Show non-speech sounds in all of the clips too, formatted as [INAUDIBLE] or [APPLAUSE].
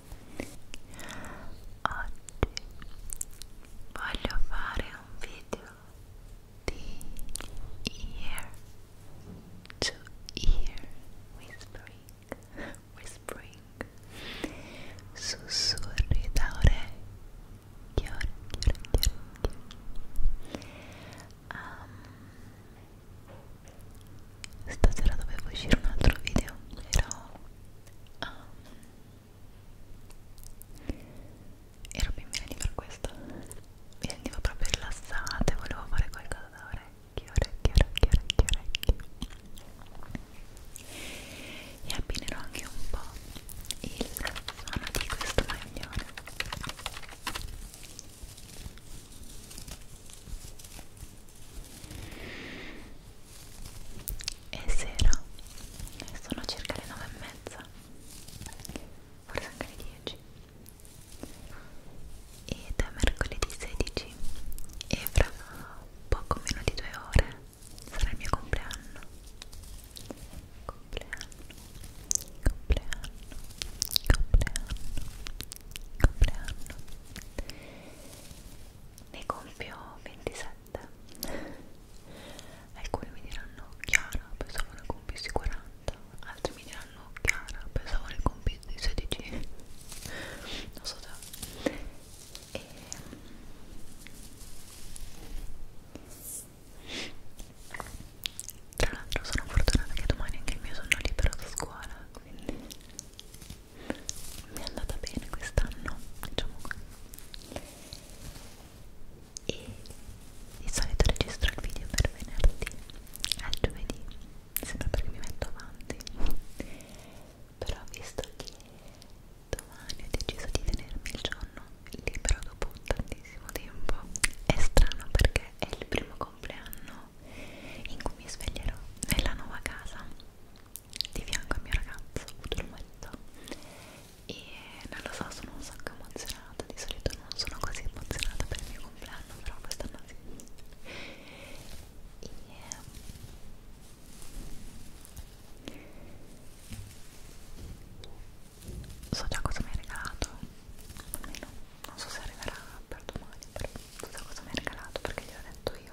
Oggi voglio fare un video di ear to ear whispering, whispering, sussurri da orecchio, orecchio, orecchio, orecchio. Um, Stasera dovevo uscire un altro video, però um, ero ben bene per questo mi sentivo proprio rilassata e volevo fare qualcosa da orecchio, orecchio, orecchio, orecchio, orecchio e abbinerò anche un po' il suono di questo maglione è sera sono circa le 9 e mezza forse anche le 10 ed è mercoledì 16 e fra poco meno di due ore sarà il mio compleanno compleanno compleanno compleanno compleanno ne compio 27 37 alcuni mi diranno Chiara pensavo ne compissi 40 altri mi diranno Chiara pensavo ne compissi 16 non so già e ehm, tra l'altro sono fortunata che domani anche il mio sono libero da scuola quindi mi è andata bene quest'anno diciamo così e di solito registro il video per venerdì al giovedì sempre perché mi metto avanti però visto che domani ho deciso di tenermi il giorno libero dopo tantissimo tempo è strano perché è il primo compleanno in cui mi sveglierò nella nuova casa di fianco al mio ragazzo, ho avuto l'umanità e non lo so, sono un sacco emozionata, di solito non sono così emozionata per il mio compleanno, però quest'anno sì e... Ehm, so già cosa mi hai regalato almeno non so se arriverà per domani però so già cosa mi hai regalato perché gliel'ho detto io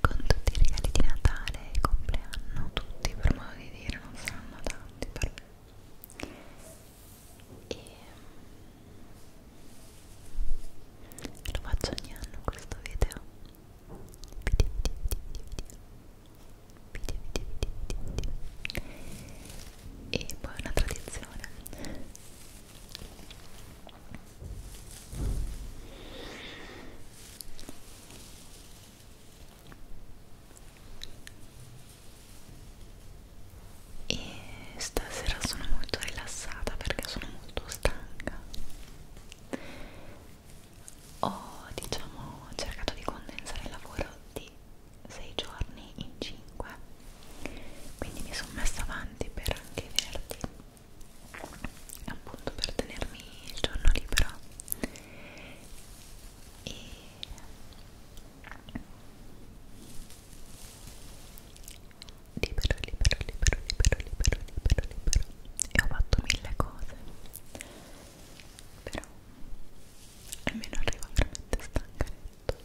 con tutti i regali di Natale e compleanno, tutti per modo di dire, non saranno tanti per me. E lo faccio ogni anno questo video. Video, video, video, video, video, video, video, video. E poi una tradizione e stasera sono molto rilassata perché sono molto stanca ho diciamo cercato di condensare il lavoro di 6 giorni in 5 quindi mi sono messa avanti per anche venerdì appunto per tenermi il giorno libero e libero, libero, libero, libero, libero, libero, libero e ho fatto mille cose però almeno arrivo veramente stanca a letto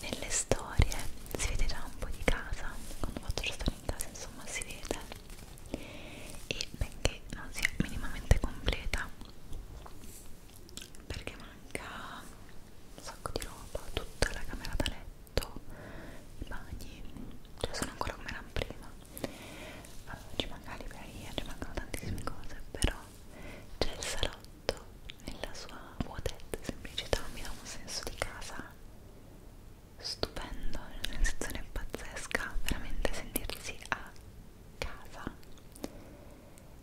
nelle storie si vede già un po' di casa quando faccio lo storie in casa insomma si vede e benché non sia minimamente completa perché manca un sacco di roba tutta la camera da letto i bagni cioè sono ancora come erano prima uh, ci manca la libreria ci mancano tantissime cose però c'è il salotto tutto nella sua vuotezza e semplicità mi dà un senso di casa stupendo, una sensazione pazzesca, veramente sentirsi a casa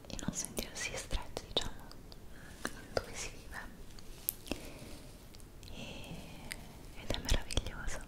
e non sentirsi stretti, diciamo, dove si vive e, ed è meraviglioso.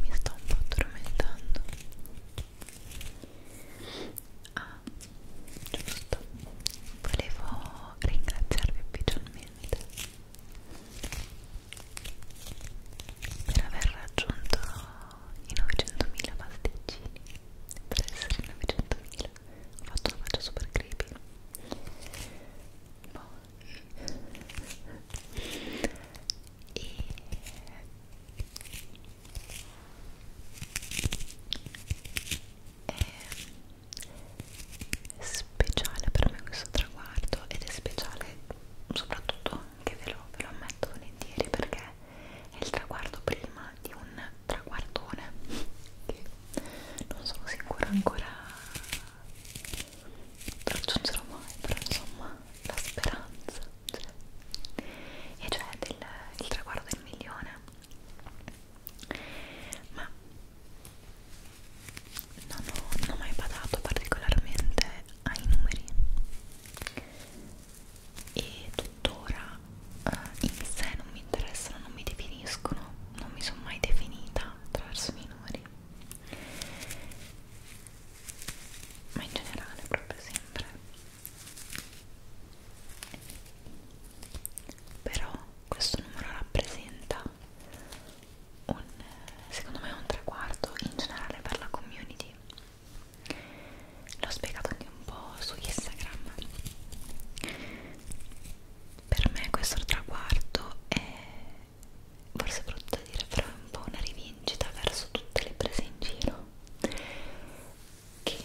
Mi sto un po' addormentando. Ah, giusto. Volevo ringraziarvi ufficialmente per aver raggiunto i 900.000 pasticcini per essere i 900.000 ho fatto una faccia super creepy boh. e eh, speciale per me questo traguardo ed è speciale soprattutto anche ve lo, ve lo ammetto volentieri perché è il traguardo prima di un traguardone che non sono sicura ancora raggiungerò mai però insomma la speranza cioè, e cioè del, il traguardo del milione ma non ho, non ho mai badato particolarmente ai numeri e tuttora eh, in sé non mi interessano, non mi definiscono, non mi sono mai definita attraverso i numeri ma in generale proprio sempre però questo numero rappresenta un, secondo me un traguardo in generale per la community l'ho spiegato anche un po' su Instagram per me questo traguardo è forse brutto da dire però è un po' una rivincita verso tutte le prese in giro che,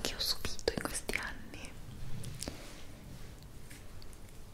che ho subito in questi anni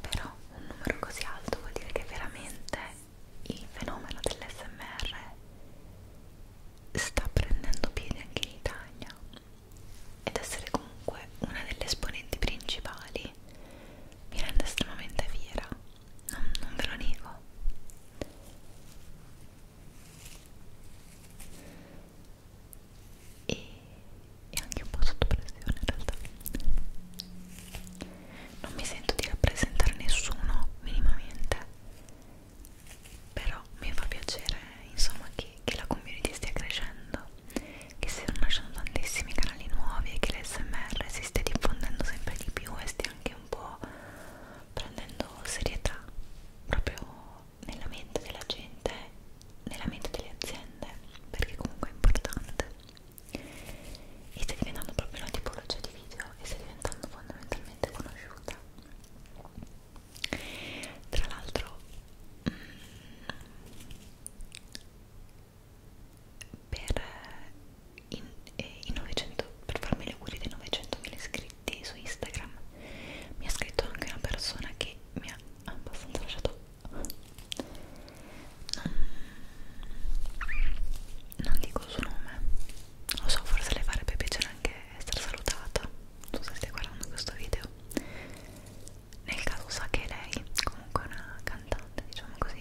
però un numero così alto vuol dire che veramente il fenomeno dell'SMR sta prendendo piede anche in Italia ed essere comunque una delle esponenti principali mi rende estremamente fiera, non, non ve lo nego e, e anche un po' sotto pressione in realtà non mi sento di rappresentare nessuno minimamente però mi fa piacere insomma che, che la community stia crescendo che stiano nascendo tantissimi canali nuovi e che l'SMR si stia diffondendo sempre di più e stia anche un po' prendendo serietà proprio nella mente della gente nella mente delle aziende perché comunque è importante e sta diventando proprio una tipologia di video e sta diventando fondamentalmente conosciuta tra l'altro mm, per, eh, in, eh, in 900, per farmi le auguri dei 900.000 iscritti su Instagram mi ha scritto anche una persona che mi ha abbastanza lasciato non dico il suo nome lo so forse le farebbe piacere anche essere salutata tu se stai guardando questo video nel caso sa che lei comunque è una cantante diciamo così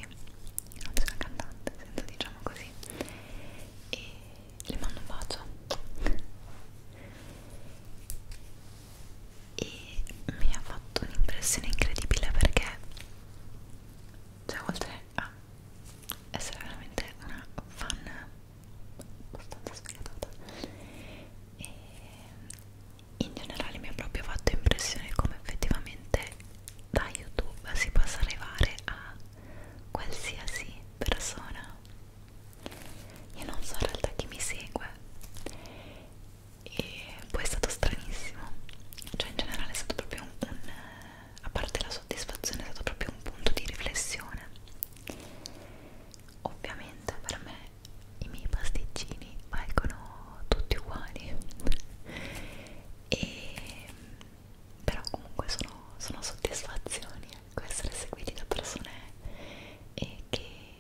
anzi una cantante senza diciamo così e le mando un bacio e mi ha fatto un'impressione incredibile perché cioè oltre a ah, essere veramente una fan abbastanza sfigata e in generale mi ha proprio fatto impressione come effettivamente da youtube si possa arrivare a qualsiasi persona io non so in realtà chi mi segue e poi è stato stranissimo cioè in generale è stato proprio un, un a parte la soddisfazione è stato proprio un punto di riflessione ovviamente per me i miei pasticcini valgono tutti uguali e però comunque sono, sono soddisfazioni ecco essere seguiti da persone e che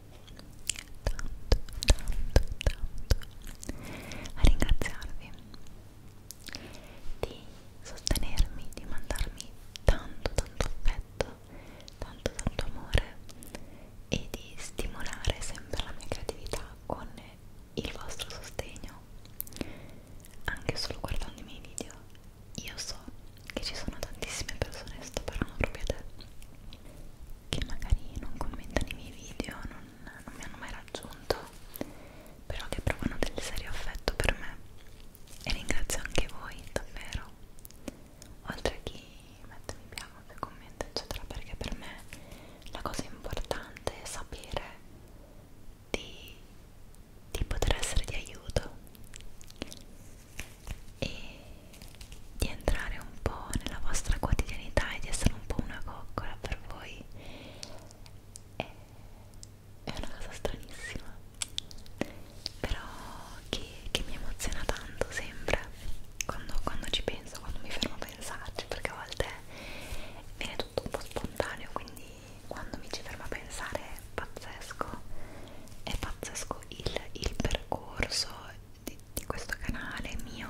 tanto, tanto, tanto a ringraziarvi di sostenermi, di mandarmi tanto, tanto affetto, tanto, tanto amore e di stimolare sempre la mia creatività con il vostro sostegno anche solo guardando i miei video io so che ci sono tantissime persone, sto parlando proprio a te che magari non commentano i miei video, non, non mi hanno mai raggiunto, però che provano del serio affetto per me e ringrazio anche voi davvero, oltre a chi mette mi piace, commenta eccetera, perché per me la cosa importante è sapere di, di poter essere di aiuto e di entrare un po' nella vostra quotidianità e di essere un po' una coccola per voi è, è una cosa stranissima però che, che mi emoziona tanto sempre quando, quando ci penso, quando mi fermo a pensarci perché a volte viene tutto un po' spontaneo quindi quando mi ci fermo a pensare è pazzesco è pazzesco il, il percorso di, di questo canale mio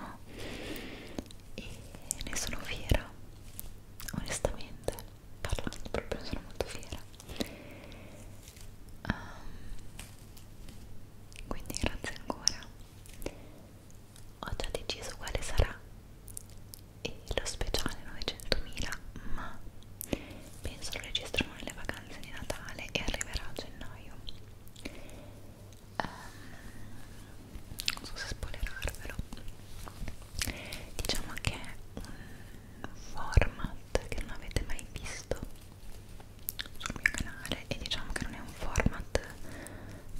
e ne sono fiera onestamente parlando proprio ne sono molto fiera um, quindi grazie ancora ho già deciso quale sarà e lo speciale 900.000 ma penso lo registrano nelle vacanze di Natale e arriverà a gennaio um, non so se spoilerarvelo diciamo che è un format che non avete mai visto sul mio canale e diciamo che non è un format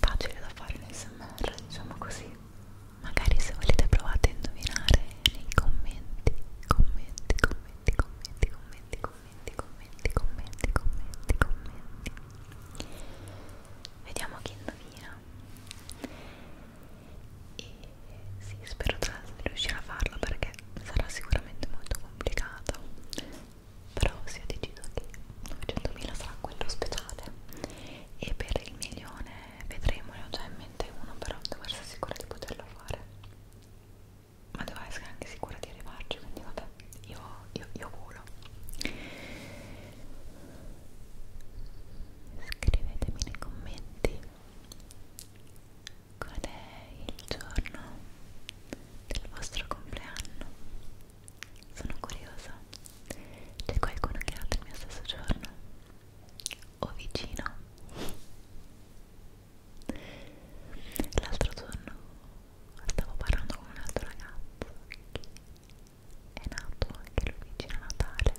facile da fare in smr diciamo così magari se volete provate a indovinare nei commenti commenti commenti commenti commenti commenti commenti, commenti, commenti, commenti, commenti. Vediamo chi indovina. E sì, spero tra l'altro di riuscire a farlo perché sarà sicuramente molto complicato. Però sì, ho deciso che 900.000 sarà quello speciale. E per il milione vedremo, ne ho già in mente uno, però devo essere sicura di poterlo fare ma devo essere anche sicura di arrivarci quindi vabbè io, io, io volo scrivetemi nei commenti qual è il giorno del vostro compleanno sono curiosa c'è qualcuno che ha il mio stesso giorno o vicino L'altro giorno stavo parlando con un altro ragazzo che è nato anche lui vicino a Natale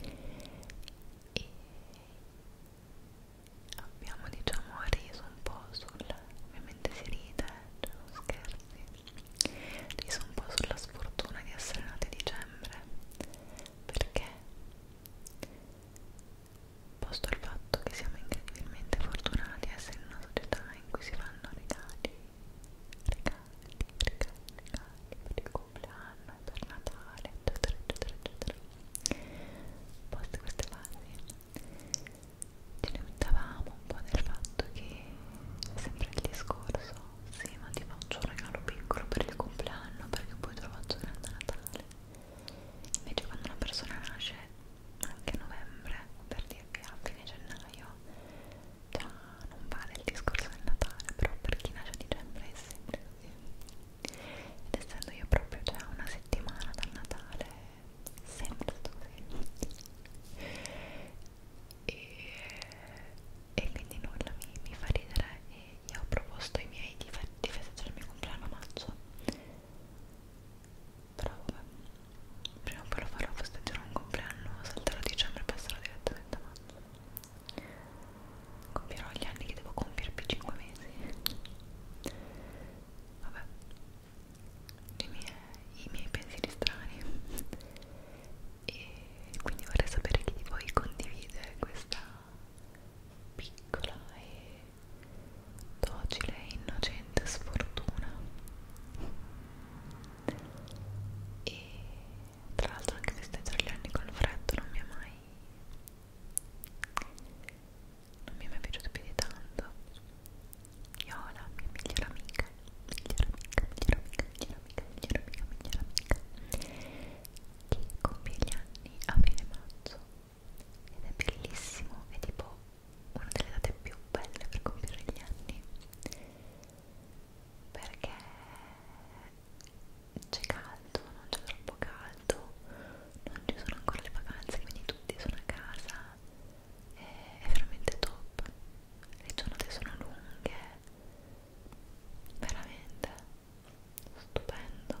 e abbiamo diciamo riso un po' sul ovviamente si ride, cioè non scherzi riso un po' sulla sfortuna di essere nati a dicembre perché posto al fatto che siamo incredibilmente fortunati a essere in una società in cui si fanno regali, regali, regali, regali per il compleanno, per Natale, eccetera, eccetera, eccetera. Poste queste fasi, ci lamentavamo un po' del fatto che è sempre il discorso: sì, ma ti faccio un regalo piccolo per il compleanno perché poi te lo faccio grande a Natale. Invece quando una persona nasce anche a novembre, per dirvi a fine gennaio, già non vale il discorso del Natale, però per chi nasce a dicembre è sempre così. Ed essendo io proprio già una settimana dal Natale, sempre stato così. E, e quindi nulla mi, mi fa ridere e io ho proposto ai miei di, di festeggiare il mio compleanno a maggio però vabbè prima o poi lo farò festeggiare un compleanno salterò dicembre e passerò direttamente a marzo compirò gli anni che devo compiere più 5 mesi vabbè i miei, i miei pensieri strani e quindi vorrei sapere chi di voi condivide questa piccola e docile e innocente sfortuna e tra l'altro anche festeggiare gli anni col freddo non mi è mai non mi è mai piaciuto più di tanto io ho la mia migliore amica migliore amica, migliore amica, migliore amica, migliore amica, migliore amica che compie gli anni a fine maggio ed è bellissimo, è tipo una delle date più belle per compiere gli anni perché c'è caldo, non c'è troppo caldo, non ci sono ancora le vacanze, quindi tutti sono a casa, è, è veramente top, le giornate sono lunghe, veramente stupendo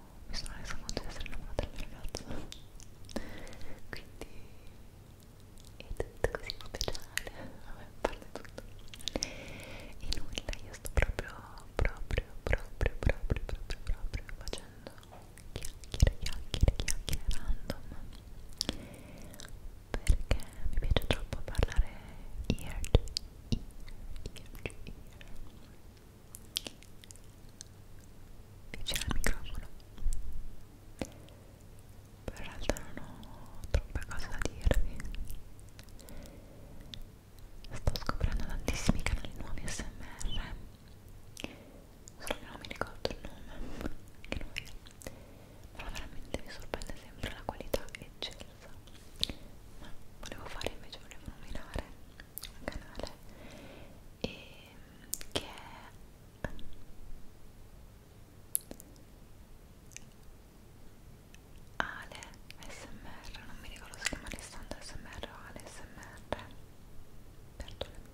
mi sono resa conto di essere innamorata del mio ragazzo quindi è tutto così speciale vabbè, parlo tutto e nulla, io sto proprio proprio, proprio, proprio, proprio, proprio facendo chiacchiere, chiacchiere, chiacchiere random perché mi piace troppo parlare ear to ear, ear to ear vicino al microfono per l'altro non ho troppe cose da dirvi sto scoprendo tantissimi canali nuovi smr solo che non mi ricordo il nome che noi però veramente mi sorprende sempre la qualità eccelsa ma volevo fare invece volevo nominare al canale e che è Ale SMR, non mi ricordo se chiama Alessandro SMR o Ale SMR perdone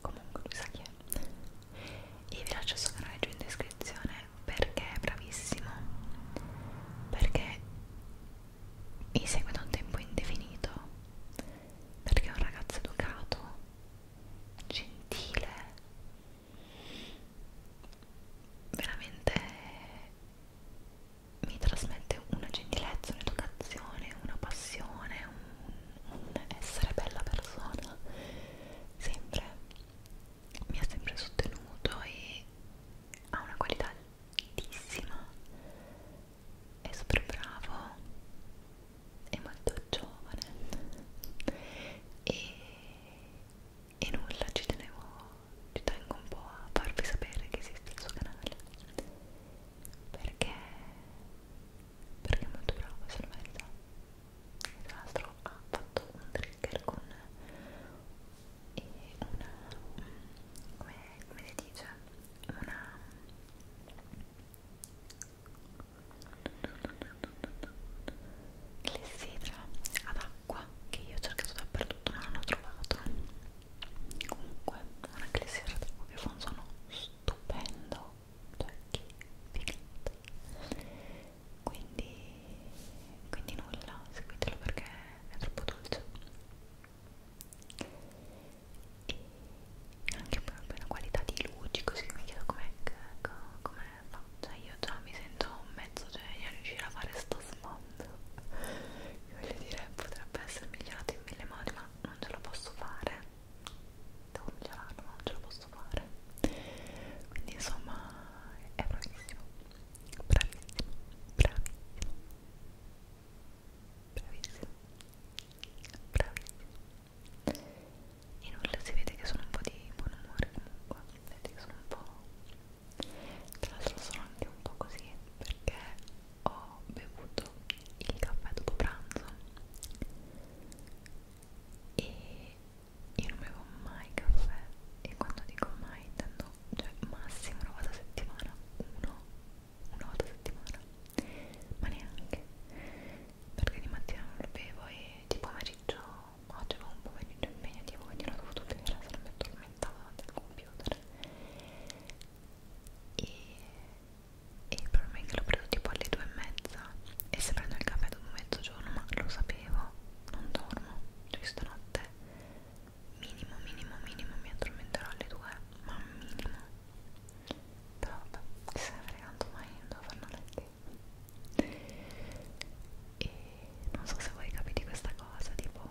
comunque lui sa chi è e vi lascio il suo canale giù in descrizione perché è bravissimo perché in seguito a un tempo indefinito perché è un ragazzo educato, gentile, veramente mi trasmette una gentilezza, un'educazione, una passione, un, un essere bella persona, sempre mi ha sempre sostenuto e ha una qualità altissima è super bravo, è molto giovane e, e nulla ci tenevo, ci tengo un po' a farvi sapere che esiste il suo canale perché, perché è molto bravo, se lo merita. Tra l'altro ha fatto un trigger con e una come, come si dice una clessidra ad acqua che io ho cercato dappertutto ma non ho trovato comunque una clessidra ad acqua che fa un suono stupendo cioè che figata quindi quindi nulla seguitelo perché è troppo dolce e anche proprio la qualità di luci così mi chiedo come com fa cioè io già mi sento mezzo genio cioè, a riuscire a fare sto sfondo voglio dire potrebbe essere migliorato in mille modi ma non ce la posso fare devo migliorarlo ma non ce la posso fare quindi insomma è bravissimo bravissimo bravissimo bravissimo bravissimo e nulla si vede che sono un po' di buon umore comunque vedete che sono un po' tra l'altro sono anche un po' così perché ho bevuto il caffè dopo pranzo e io non bevo mai caffè e quando dico mai intendo cioè massimo una volta a settimana uno una volta a settimana ma neanche perché di mattina non lo bevo e di pomeriggio oggi avevo un pomeriggio impegnativo quindi l'ho dovuto bere se mi addormentavo davanti al computer e, e il problema è che l'ho preso tipo alle due e mezza e se prendo il caffè dopo mezzogiorno ma lo sapevo non dormo cioè stanotte minimo minimo minimo mi addormenterò alle 2 ma minimo però vabbè chi se ne fregando mai non devo fare una lettera e non so se voi capite questa cosa tipo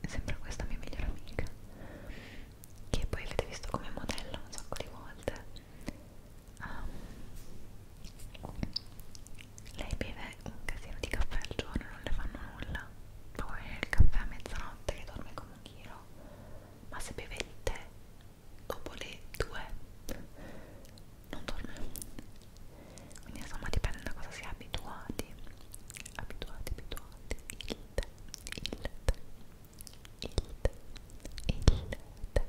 è sempre questa mia migliore amica che poi avete visto come modello un sacco di volte um, lei beve un casino di caffè al giorno non le fanno nulla poi il caffè a mezzanotte che dorme come un chilo ma se beve il tè dopo le due non dorme quindi insomma dipende da cosa si è abituati abituati abituati il tè il tè il tè il tè il tè il tè il tè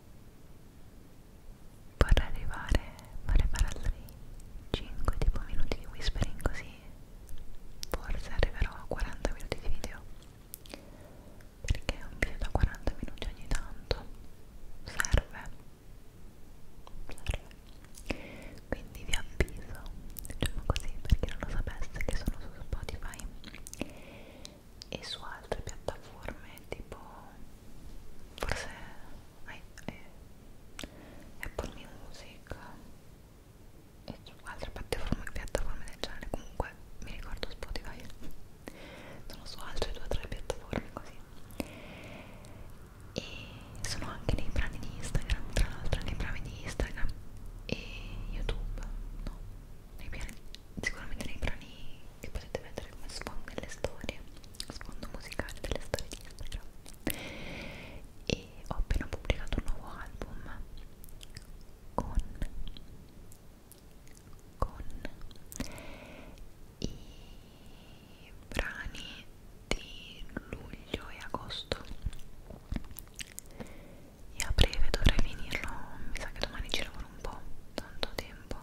vorrei arrivare vorrei fare altri 5 tipo minuti di whispering così forse arriverò a 40 minuti di video perché un video da 40 minuti ogni tanto serve serve quindi vi avviso diciamo così per chi non lo sapesse che sono su Spotify e su altre piattaforme tipo forse eh, Apple Music e su altre piattaforme, piattaforme del genere comunque mi ricordo Spotify sono su altre due o tre piattaforme così e sono anche nei brani di Instagram tra l'altro nei brani di Instagram e YouTube no nei piani sicuramente nei brani che potete mettere come sfondo nelle storie sfondo musicale delle storie di Instagram e ho appena pubblicato un nuovo album con con i brani di luglio e agosto e a breve dovrei finirlo mi sa che domani ci lavoro un po' tanto tempo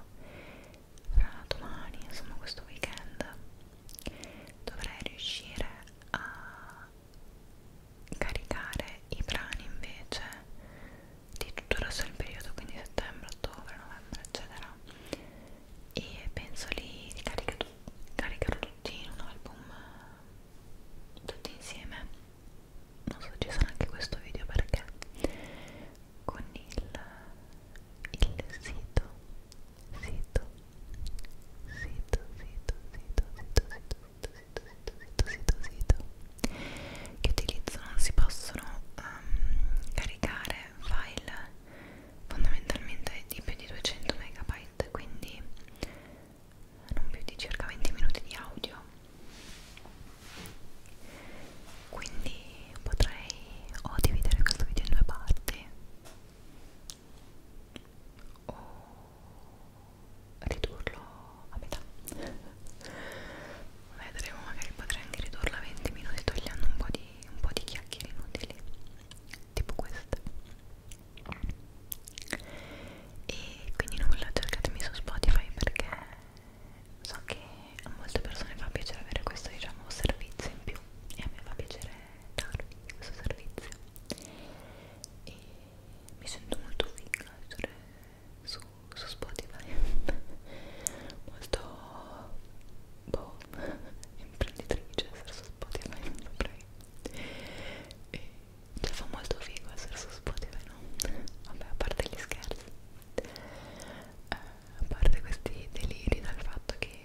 fra domani, insomma questo weekend dovrei riuscire a caricare i brani invece di tutto il resto del periodo, quindi settembre, ottobre, novembre, eccetera e penso li, li caricherò, caricherò tutti in un album tutti insieme non so ci sarà anche questo video perché con il, il sito, sito, sito, sito, sito, sito, sito, sito, sito, sito, sito, sito, che utilizzo non si possono um, caricare file fondamentalmente di più di 200 MB quindi non più di circa 20 minuti di audio quindi potrei o dividere questo video in due parti o ridurlo a metà vedremo magari potrei anche ridurlo a 20 minuti togliendo un po' di, un po di chiacchiere inutili tipo queste e quindi nulla cercatemi su Spotify perché so che a molte persone fa piacere avere questo diciamo servizio in più e a me fa piacere darvi questo servizio e mi sento molto figa essere su, su Spotify [LAUGHS] molto boh [LAUGHS] imprenditrice essere su Spotify non saprei e cioè fa molto figo essere su Spotify no? vabbè a parte gli scherzi eh, a parte questi deliri dal fatto che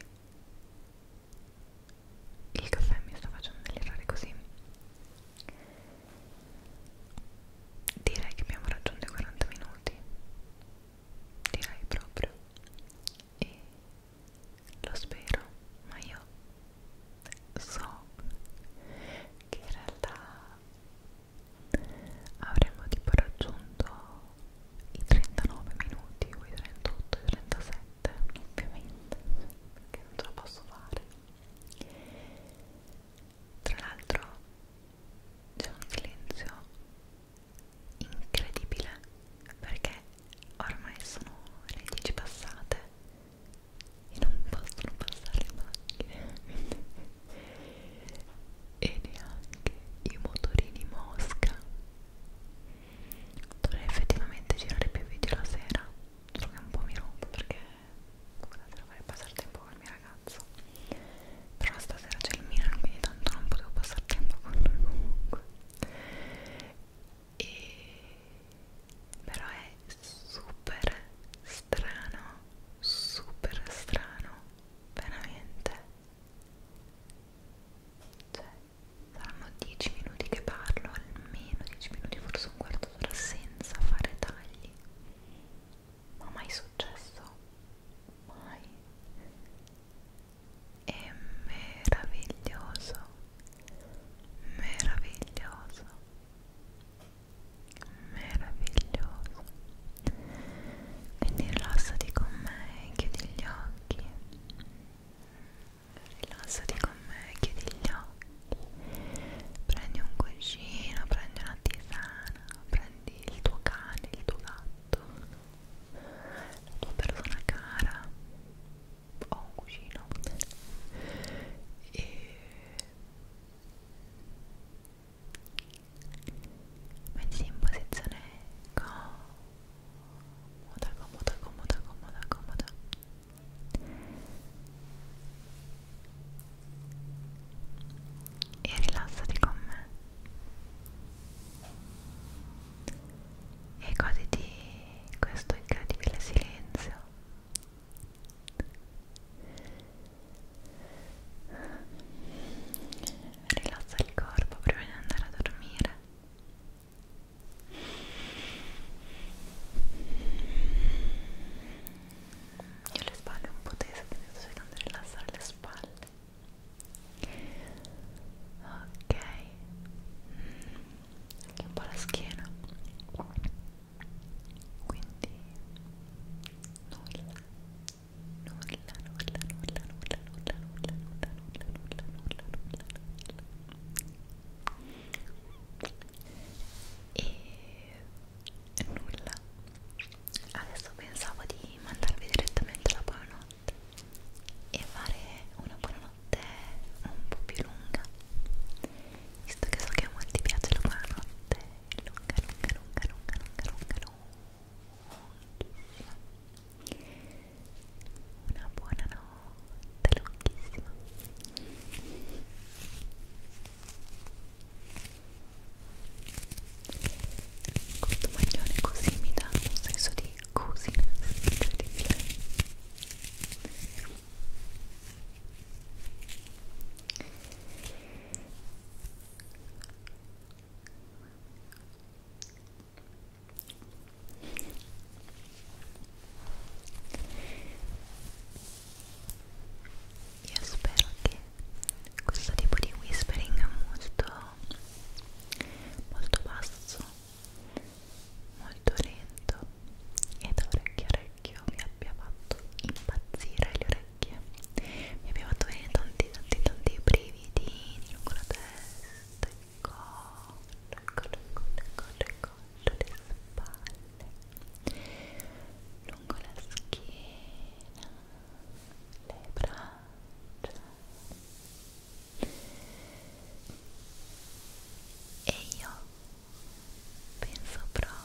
il caffè mi sta facendo delirare così direi che abbiamo raggiunto i 40 minuti direi proprio e lo spero ma io so che in realtà avremmo tipo raggiunto i 39 minuti o i 38, i 37 ovviamente perché non ce la posso fare tra l'altro c'è un silenzio incredibile perché ormai sono le 10 passate e non possono passare le macchine e neanche i motorini mosca dovrei effettivamente girare più video la sera solo che un po' mi rompo perché la sera vorrei passare tempo con il mio ragazzo però stasera c'è il Milan quindi tanto non potevo passare tempo con lui comunque e però è super strano super strano veramente cioè saranno 10 minuti che parlo almeno 10 minuti forse un quarto d'ora senza fare tagli ma mai successo mai è meraviglioso meraviglioso meraviglioso quindi rilassati con me chiudi gli occhi rilassati con me chiudi gli occhi prendi un cuscino prendi una tisana prendi il tuo cane il tuo gatto la tua persona cara o un cuscino e mettiti in posizione comoda, comoda, comoda, comoda, comoda e rilassati con me e goditi questo incredibile silenzio Rilassa il corpo prima di andare a dormire. Io le spalle un po' tese, quindi sto cercando di rilassare le spalle. Ok, anche un po' la schiena. Quindi nulla e nulla adesso pensavo di mandarvi direttamente la buonanotte e fare una buonanotte un po' più lunga visto che so che a molti piace la buonanotte lunga lunga lunga lunga lunga lunga lunga una buona notte lunghissima questo maglione così mi dà un senso di cosina incredibile io spero che questo tipo di whispering molto molto basso, molto lento e da orecchio a orecchio vi abbia fatto impazzire le orecchie orecchie mi aveva fatto venire tanti tanti tanti brividi lungo la testa il collo, il collo, il collo, il collo, il collo le spalle lungo la schiena le braccia e io penso proprio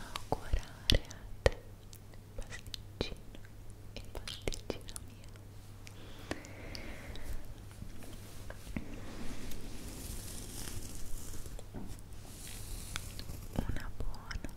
augurare a te pasticcino e pasticcina mia una buona buona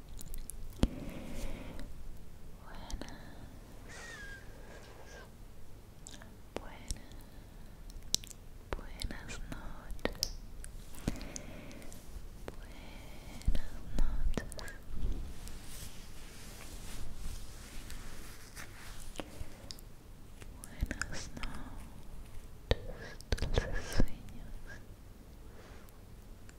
Buenas. Buenas. Buenas noches. Buenas noches. Buenas noches, dulces sueños.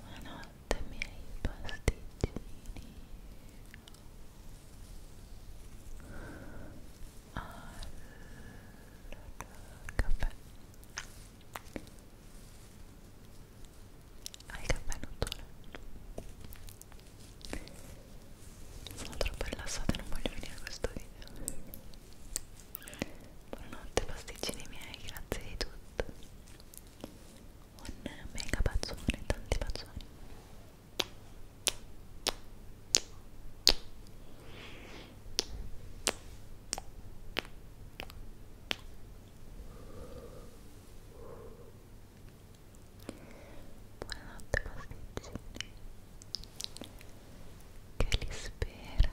Buonanotte miei pasticcini al caffè al caffè notturno sono troppo rilassata e non voglio finire questo video buonanotte pasticcini miei grazie di tutto un mega bacione, tanti bacioni Buonanotte pasticcini Che li spera